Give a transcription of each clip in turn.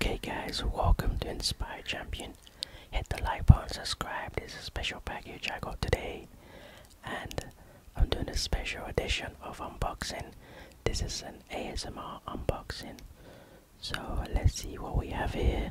Okay guys, welcome to Inspire Champion. Hit the like button, subscribe. This is a special package I got today. And I'm doing a special edition of unboxing. This is an ASMR unboxing. So let's see what we have here.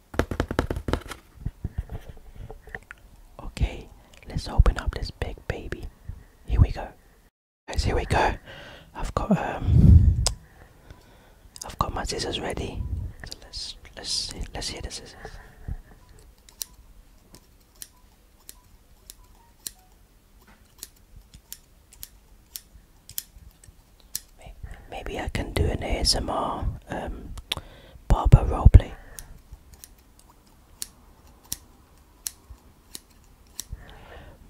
Okay, let's open up this big baby. Here we go. Guys, here we go. I've got um I've got my scissors ready. let's let's see, let's hear the scissors. Maybe I can do an ASMR um, Barbara Robley.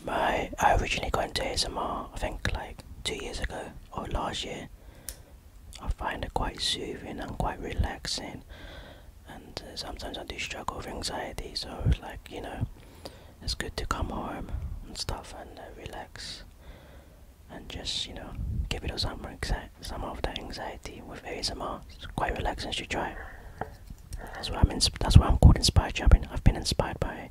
My I originally got into ASMR I think like two years ago or last year. I find it quite soothing and quite relaxing and uh, sometimes I do struggle with anxiety so it's like you know it's good to come home and stuff and uh, relax and just you know give it some some of that anxiety with ASMR. It's quite relaxing to try. That's why I'm that's why I'm called inspired. I've been I've been inspired by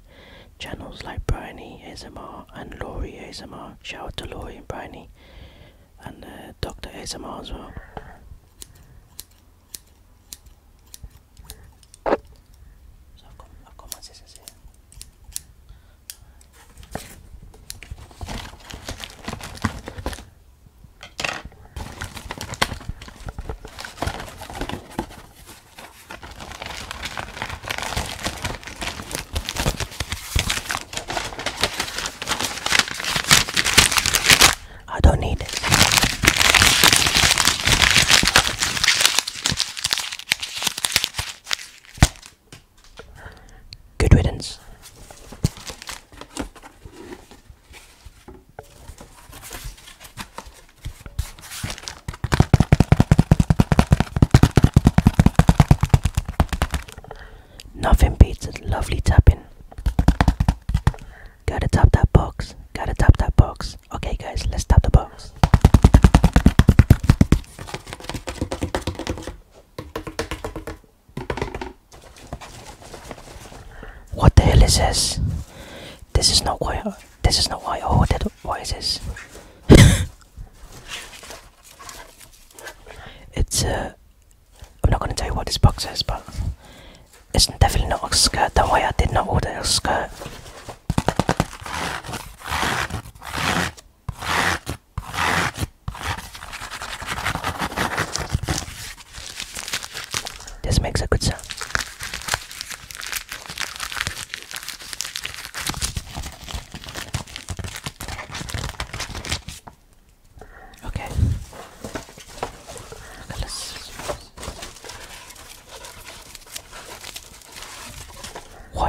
channels like Bryony ASMR and Laurie ASMR. Shout out to Laurie and Bryony and uh, Doctor ASMR as well. So I've got, I've got my I don't need it. Good riddance. Nothing beats a lovely tapping. Gotta tap that box. Gotta tap that box. Okay, guys, let's tap the box. What the hell is this? This is not why. I, this is not why I ordered. Why is this? it's uh, I'm not gonna tell you what this box is, but it's definitely not a skirt. That's why I did not order a skirt. This makes a good sound. Okay.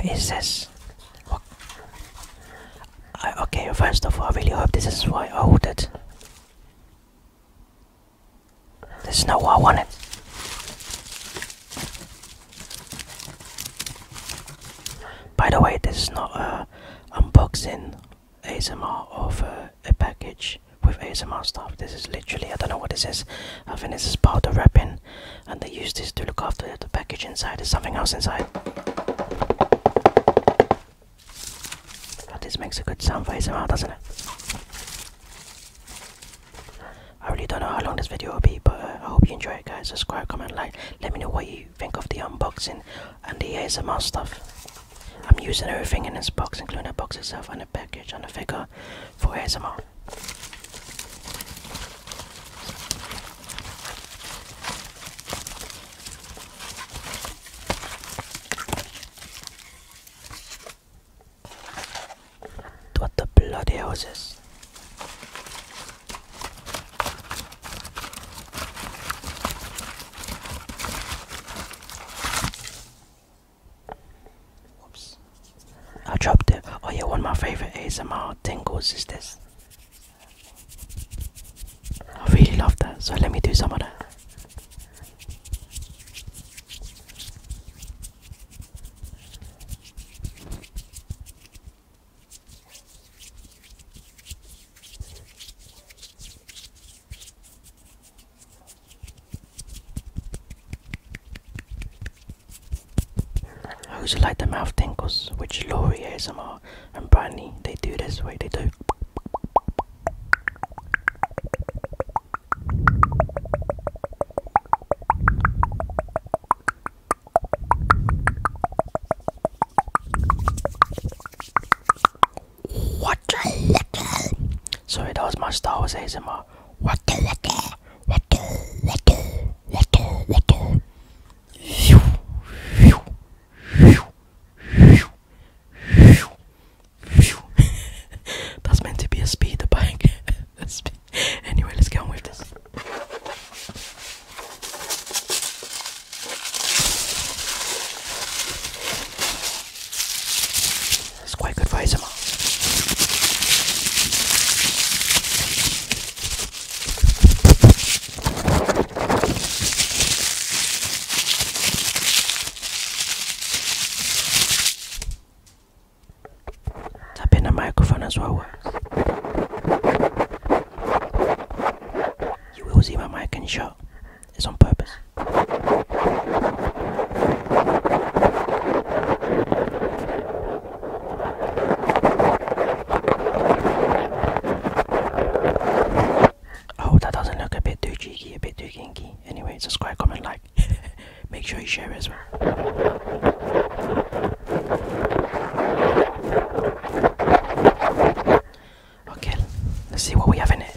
is this? okay, first of all, I really hope this is why I ordered. This is not what I wanted. By the way, this is not uh, a unboxing ASMR of uh, a package with ASMR stuff. This is literally, I don't know what this is. I think this is part of wrapping and they use this to look after the package inside. There's something else inside. But this makes a good sound for ASMR, doesn't it? I really don't know how long this video will be, but uh, I hope you enjoy it, guys. Subscribe, comment, like. Let me know what you think of the unboxing and the ASMR stuff. I'm using everything in this box, including the box itself and the package and the figure for ASMR. What the bloody hell is I dropped it. Oh yeah, one of my favorite ASMR tingles is this. I really love that, so let me do some of that. I also like the mouth tinkles, which Laurie ASMR and Brandy they do this way. They do. What a little. Sorry, that my Star Wars ASMR. What a little, little, little, little, little. That's meant to be a speed bike. anyway, let's go on with this. It's quite good for Tap in the microphone as well. You will see my mic in shot. It's on purpose. Oh, that doesn't look a bit too cheeky, a bit too kinky. Anyway, subscribe, comment, like. Make sure you share as well. Okay, let's see what we have in it.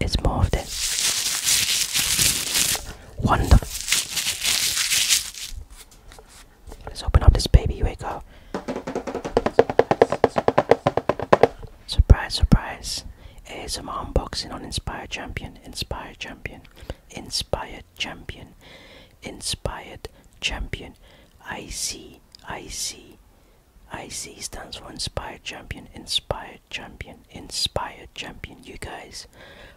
It's more of this. Wonderful. Let's open up this baby. Here Surprise, surprise. ASMR unboxing on Inspired Champion, Inspired Champion, Inspired Champion, Inspired Champion. IC, IC, IC stands for Inspired Champion, Inspired Champion, Inspired Champion. You guys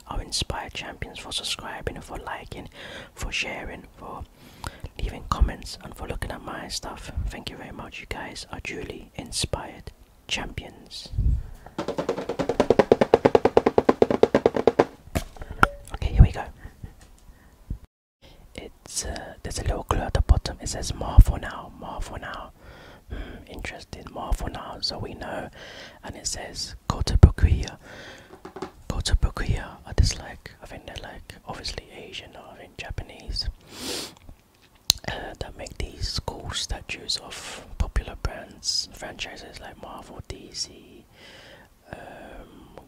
are Inspired Champions for subscribing, for liking, for sharing, for leaving comments, and for looking at my stuff. Thank you very much. You guys are truly inspired champions. Okay, here we go. It's uh, there's a little clue at the bottom. It says more for now, more for now. Hmm, interesting, more for now. So we know, and it says Kotobukuya. Bukuya. are just like I think they're like obviously Asian or I Japanese uh, that make these cool statues of popular brands, franchises like Marvel, DC, um,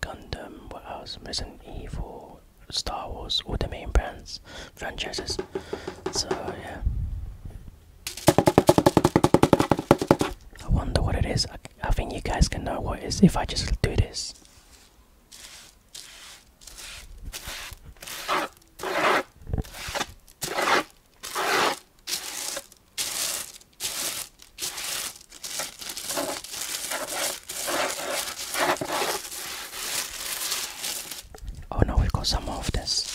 Gundam, what else? Resident Evil, Star Wars, all the main brands, franchises. So yeah. I wonder what it is. I, I think you guys can know what it is if I just do this. Oh no, we've got some more of this.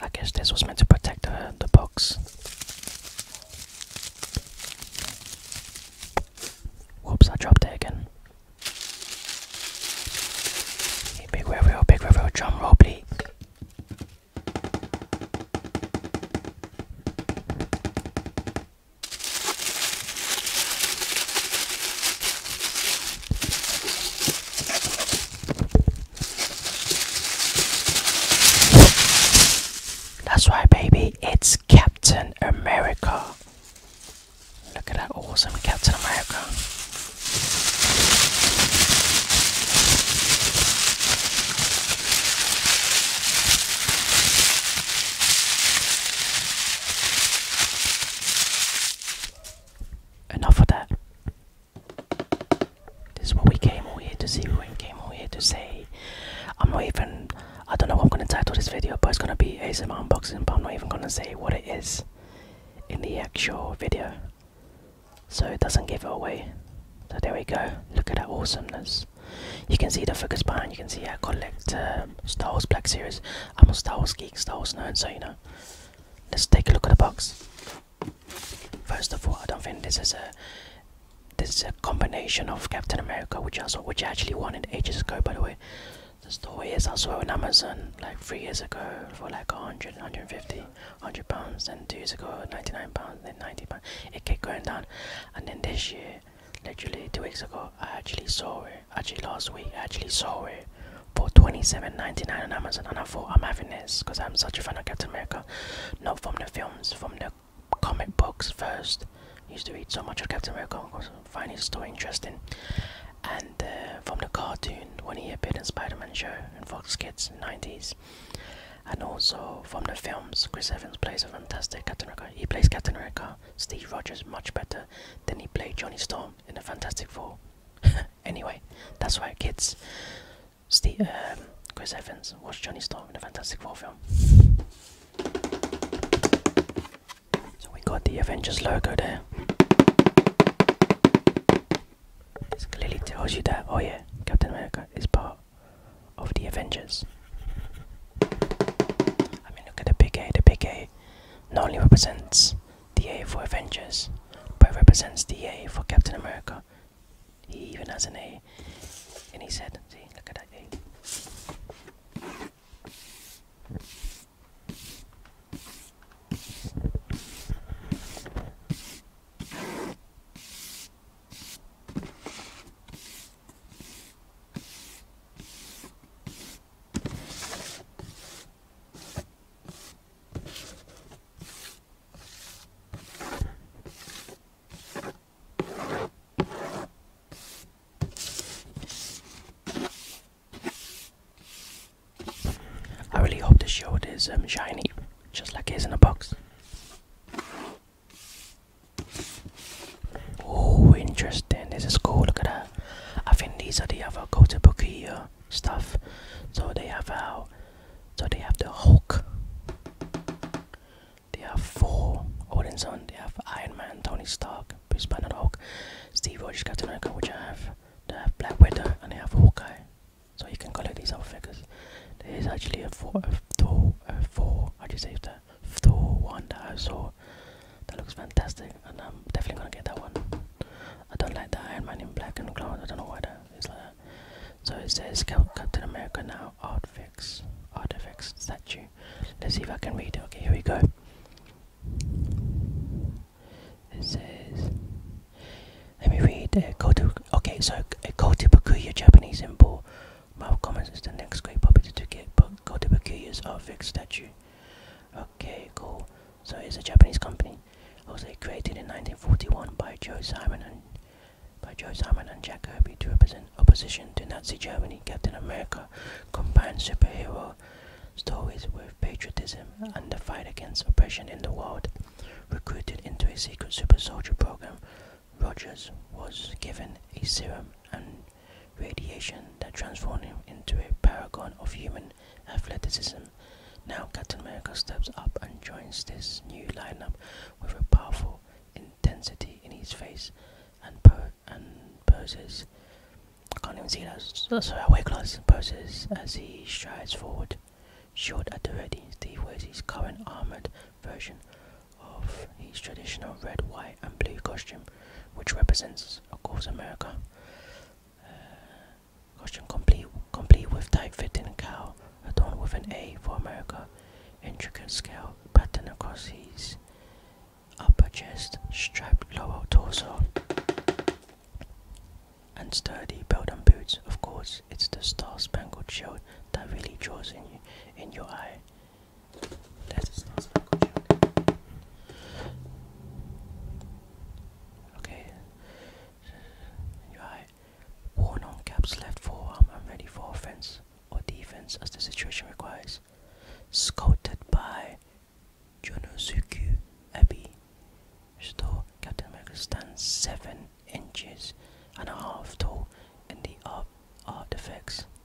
I guess this was meant to protect the, box. Whoops, I dropped again. Hey, big reveal, big reveal, drum roll, please. That's right, baby, it's Captain America. Look at that awesome Captain America. Enough of that. This is what we came all here to see. We came all here to say. I'm not even. I don't know what I'm gonna title this video, but it's gonna be ASMR unboxing. But I'm not even gonna say what it is in the actual video, so it doesn't give it away. So there we go. Look at that awesomeness. You can see the figures behind. You can see I collect um, Star Wars Black Series. I'm a Star Wars geek, Star Wars nerd, so you know. Let's take a look at the box. First of all, I don't think this is a this is a combination of Captain America, which I saw, which I actually wanted ages ago, by the way. The story is I saw it on Amazon like three years ago for like 100, 150, 100 pounds, and two years ago 99 pounds, then 90 pounds. It kept going down, and then this year literally two weeks ago i actually saw it actually last week i actually saw it for 27.99 on amazon and i thought i'm having this because i'm such a fan of captain america not from the films from the comic books first used to read so much of captain america because i his story interesting and uh, from the cartoon when he appeared in spider-man show in fox kids in the 90s and also from the films chris evans plays a fantastic captain america he plays captain america Steve Rogers much better than he played Johnny Storm in the Fantastic Four. anyway, that's why kids. Steve, um, Chris Evans was Johnny Storm in the Fantastic Four film. So we got the Avengers logo there. This clearly tells you that, oh yeah, Captain America is part of the Avengers. I mean, look at the big A. The big A not only represents the A for Avengers, but represents the A for Captain America. He even has an A in his head. See, look at that A. I really hope the shield is um, shiny, just like it is in a box. Oh, interesting. This is cool. Look at that. I think these are the other Kotobukiya stuff. So they have our. So they have the Hulk. They have four Odinson. Oh, they have Iron Man, Tony Stark, Bruce Banner, Hulk, Steve Rogers, Captain America, which you have. They have Black Widow and they have Hawkeye. So you can collect these other figures. There is actually a four, a four, a four. How do you save that? Thor one that I saw. That looks fantastic, and I'm definitely gonna get that one. I don't like the Iron Man in black and clowns. I don't know why that is like that. So it says Captain America now artifacts, artifacts statue. Let's see if I can read it. Okay, here we go. It says, let me read. Uh, Kota, okay, so uh, Kotobukuya, Japanese symbol Marvel Comics is the next great property to get go to Bakuya's Artfix statue. Okay, cool. So it's a Japanese company. Also created in 1941 by Joe Simon and by Joe Simon and Jack Kirby to represent opposition to Nazi Germany, Captain America combined superhero stories with patriotism and the fight against oppression in the world. Recruited into a secret super soldier program Rogers was given a serum and radiation that transformed him into a paragon of human athleticism. Now Captain America steps up and joins this new lineup with a powerful intensity in his face and poses. I can't even see that. Oh, sorry, I wear glasses. Poses as he strides forward. Short at the ready, Steve wears his current armored version of his traditional red, white, and blue costume, which represents, of course, America. Uh, costume complete, complete with tight-fitting cowl, adorned with an A for America, intricate scale pattern across his upper chest, striped lower torso, and sturdy belt and boots. Of course, it's the star-spangled shield that really draws in you, in your eye. That is not sparkle joke. Okay. Right. Worn on caps left forearm I'm ready for offense or defense as the situation requires. Scouted by Jonosuke Abbey. Still, Captain America stands seven inches and a half tall in the art effects.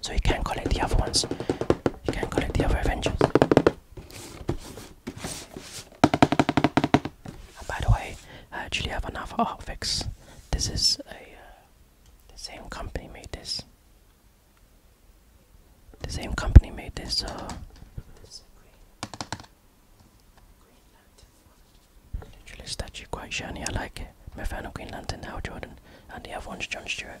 so you can collect the other ones. You can collect the other Avengers. by the way, I actually have another Artfix. This is a uh, the same company made this. The same company made this. So, this green, green Lantern. Literally statue, quite shiny. I like it. My fan of Green Lantern, Hal Jordan, and the other one's John Stewart.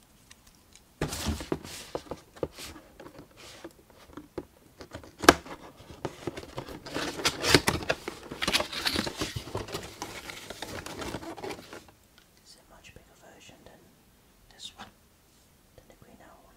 It's a much bigger version than this one, than the green owl one.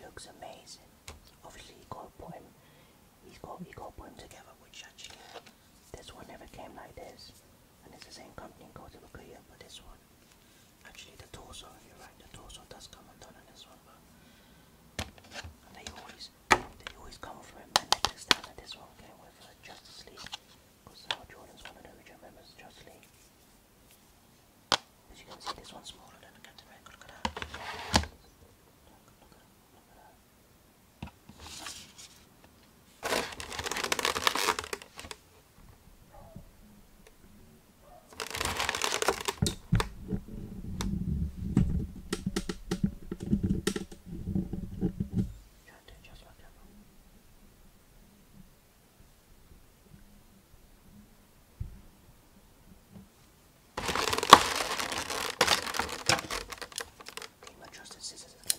Looks amazing. Obviously, he got a poem. He's got he got a poem together, which actually this one never came like this. And it's the same company called Korea, but this one actually the torso. You're right, the torso does come undone in this one, but and they always they always come from him. this one came with uh, Justice League. Because now uh, Jordan's one of the original members of Justice League. As you can see, this one's smaller than Captain America. Look at that. Look, look, look, look at that. Try to adjust my camera. Clean my trusted scissors again.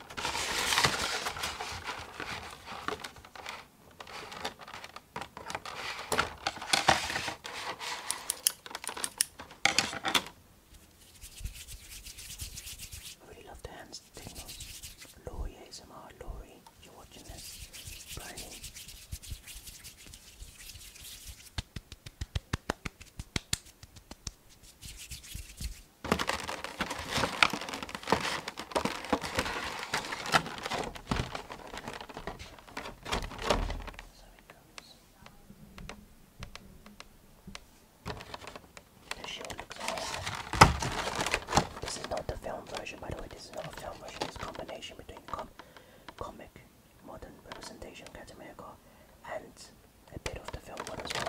I really love the hands signals. Laurie ASMR, Laurie, you're watching this. Bernie. This is not the film version, by the way. This is not a film version. It's a combination between comic, modern representation of Captain and a bit of the film one as well.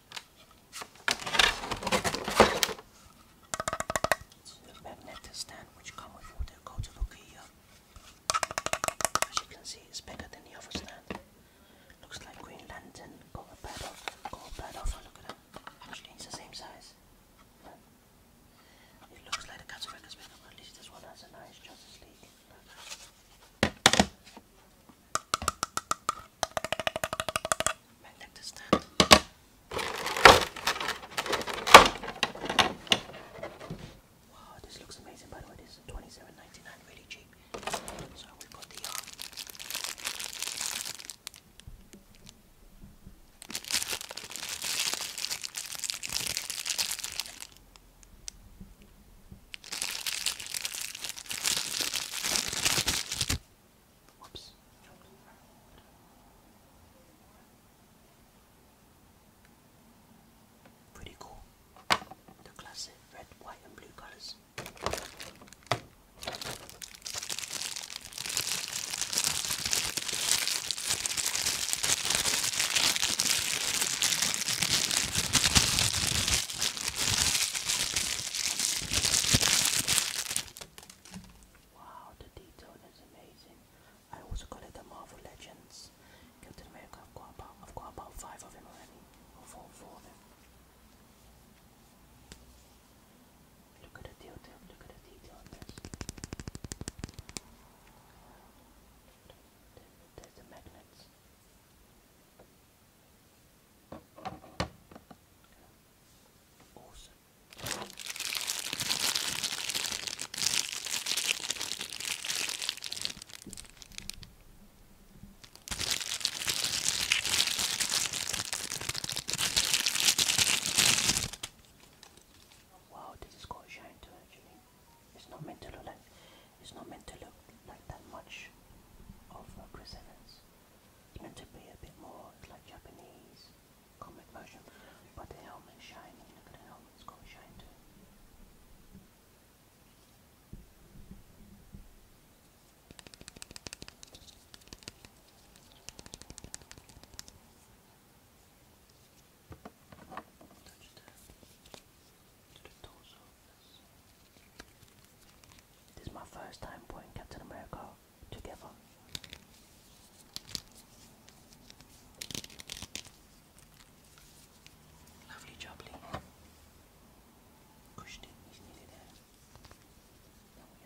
the magnetic stand which come with the Kota Lukia. As you can see, it's bigger than the other stand. Looks like Green Lantern got a bad off, got a bad off. Look at that. it's the same size. It looks like the cataract is at least this one has a nice Justice League. Magnetic stand. Wow, this looks amazing by the way. This is twenty-seven ninety-nine, really cheap. So we got the yarn. Uh, Whoops. Pretty cool. The classic red, white, and blue colors. Wow, the detail is amazing. I also collect the Marvel Legends. Captain America, I've got about, I've got about five of them already, or four, four of them. Look at the detail, look at the detail on this. There's the magnets. Wow, this is quite shine too actually. It's not meant to look like it's not meant to look like that much of uh, Chris Evans meant to be a bit more, like Japanese comic version, but the helmet's shiny, look at the helmet's got a shine too. Touch the, to the torso this is my first time putting Captain America together. Lovely job, Lee. Pushed it, he's nearly there. Now we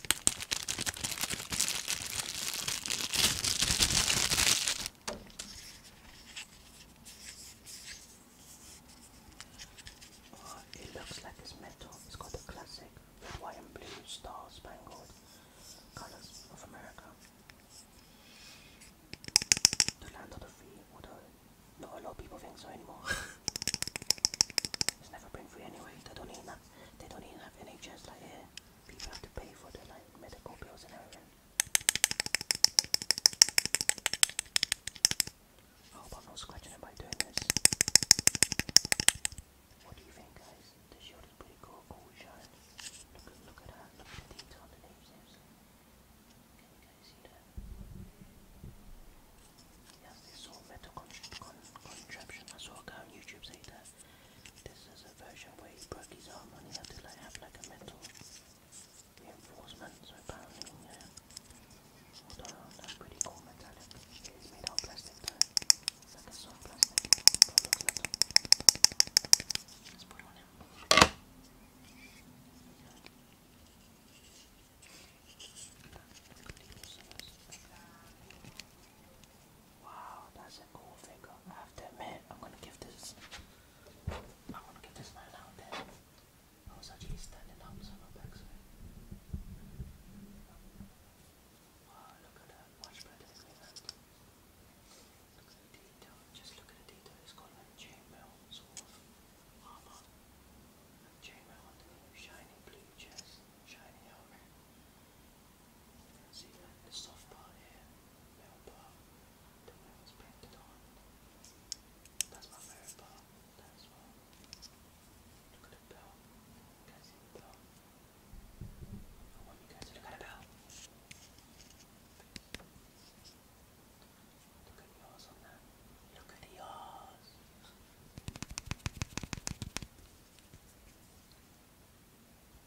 Oh, it looks like it's metal. It's got the classic red, white, and blue star spangled colors of America. The land of the free, not a lot of people think so anymore. it's never been free anyway. They don't even have, they don't even have NHS like here people have to pay for their medical bills and everything. I hope I'm not scratching it by doing this. What do you think, guys? The shield is pretty cool, cool shine. Look at that. Look at the detail on the name, Can guys see that? Yes, this all metal contraption. I saw a on YouTube say that. This is a version where he broke his arm and he had to like, have like a metal reinforcement, so apparently, yeah. Although that's pretty cool metallic. It's made out of plastic like a soft plastic, Wow, that's a cool figure. I have to I'm gonna give this. I'm gonna give this man out there. I was actually standing up, so my Wow, look at that. Much better than that. Look at the detail. Just look at the detail. It's got like chainmail sort of armor. Chainmail on the shiny blue chest, shiny helmet. See that the soft part here, the metal the metal is painted on. That's my favorite part. Look at the bell. You see the bell? I want you guys to look at the bell. Look at yours on that. Look at yours.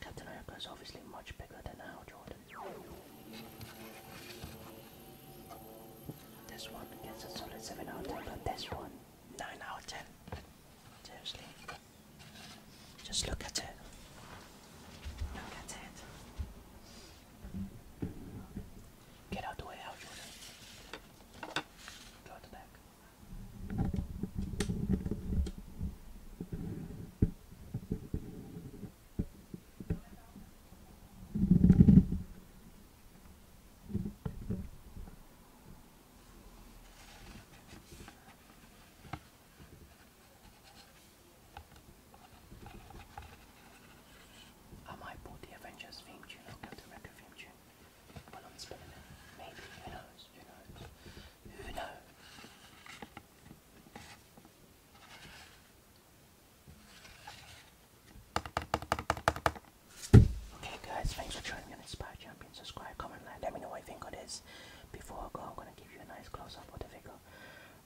Captain America is obviously much bigger than Al Jordan. This one gets a solid 7 out of 10, but this one, 9 out of 10. Seriously. Just look at it. Look at it. Get out the way, out Jordan. Go out the back. I might put the Avengers theme tune or Captain America theme tune while I'm spinning it. Maybe, who knows, who knows, who knows. Okay guys, thanks for joining me on Inspire Champion. Subscribe, comment, like, let me know what you think of this. Before I go, I'm gonna give you a nice close-up of the figure.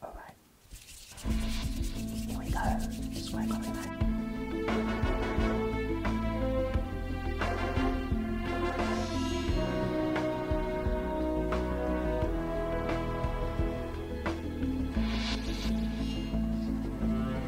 Alright. Here we go. Subscribe, comment, like.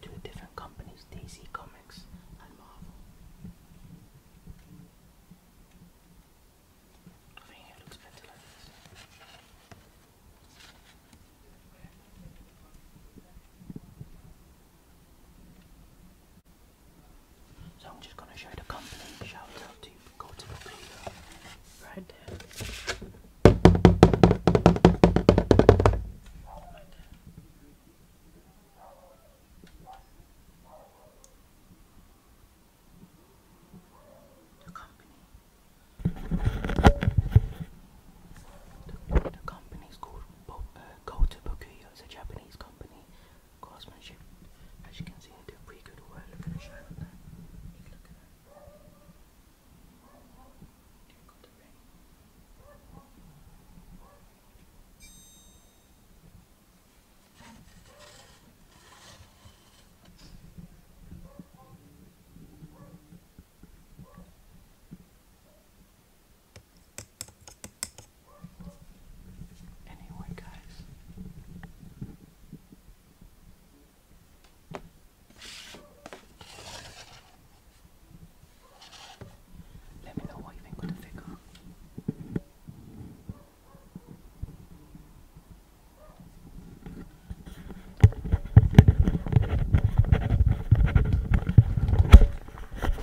Two different companies, DC Comics and Marvel. So I'm just going to show the company. Shout out to Cortico Peter right there. Right there. The company. The, the company is called Bo uh, Kota It's a Japanese company. Craftsmanship. As you can see, they do pretty good work. Look at Anyway, guys, let me know what you think of the figure.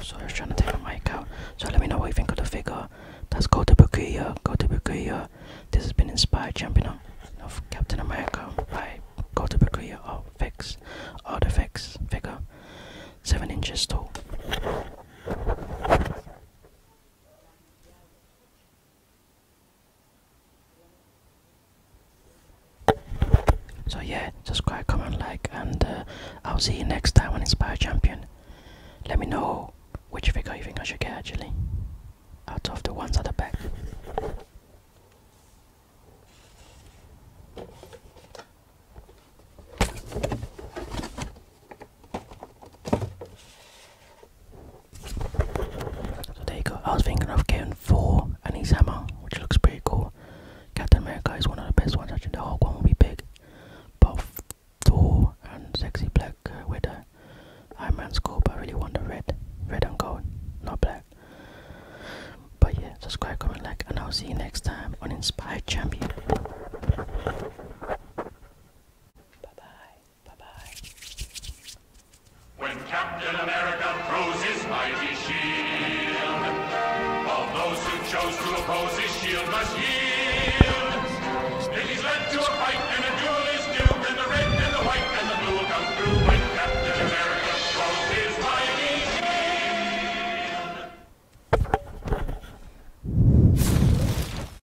So I was trying to take my mic out. So let me know what you think of the figure. That's Go to Bakuya. Go to Bakuya. This has been inspired champion of Captain America by Go to Bakuya or oh, Fix or oh, the Fix figure. Seven inches tall. So yeah, subscribe, comment, like, and uh, I'll see you next time on Inspire Champion. Let me know which figure you think I should get actually, out of the ones at the back. So there you go. I was thinking of getting four and his hammer, which looks pretty cool. Captain America is one of the best ones. think the Hulk one will be big, Both Thor and Sexy Black uh, Widow, Iron Man's cool. But I really want the red, red and gold, not black. But yeah, subscribe, comment, like, and I'll see you next time on Inspired Champion. Bye bye. When Captain America throws his mighty shield, all those who chose to oppose his shield must yield. If he's led to a fight, and a duel is due, then the red and the white and the blue will come through when Captain America throws his mighty shield.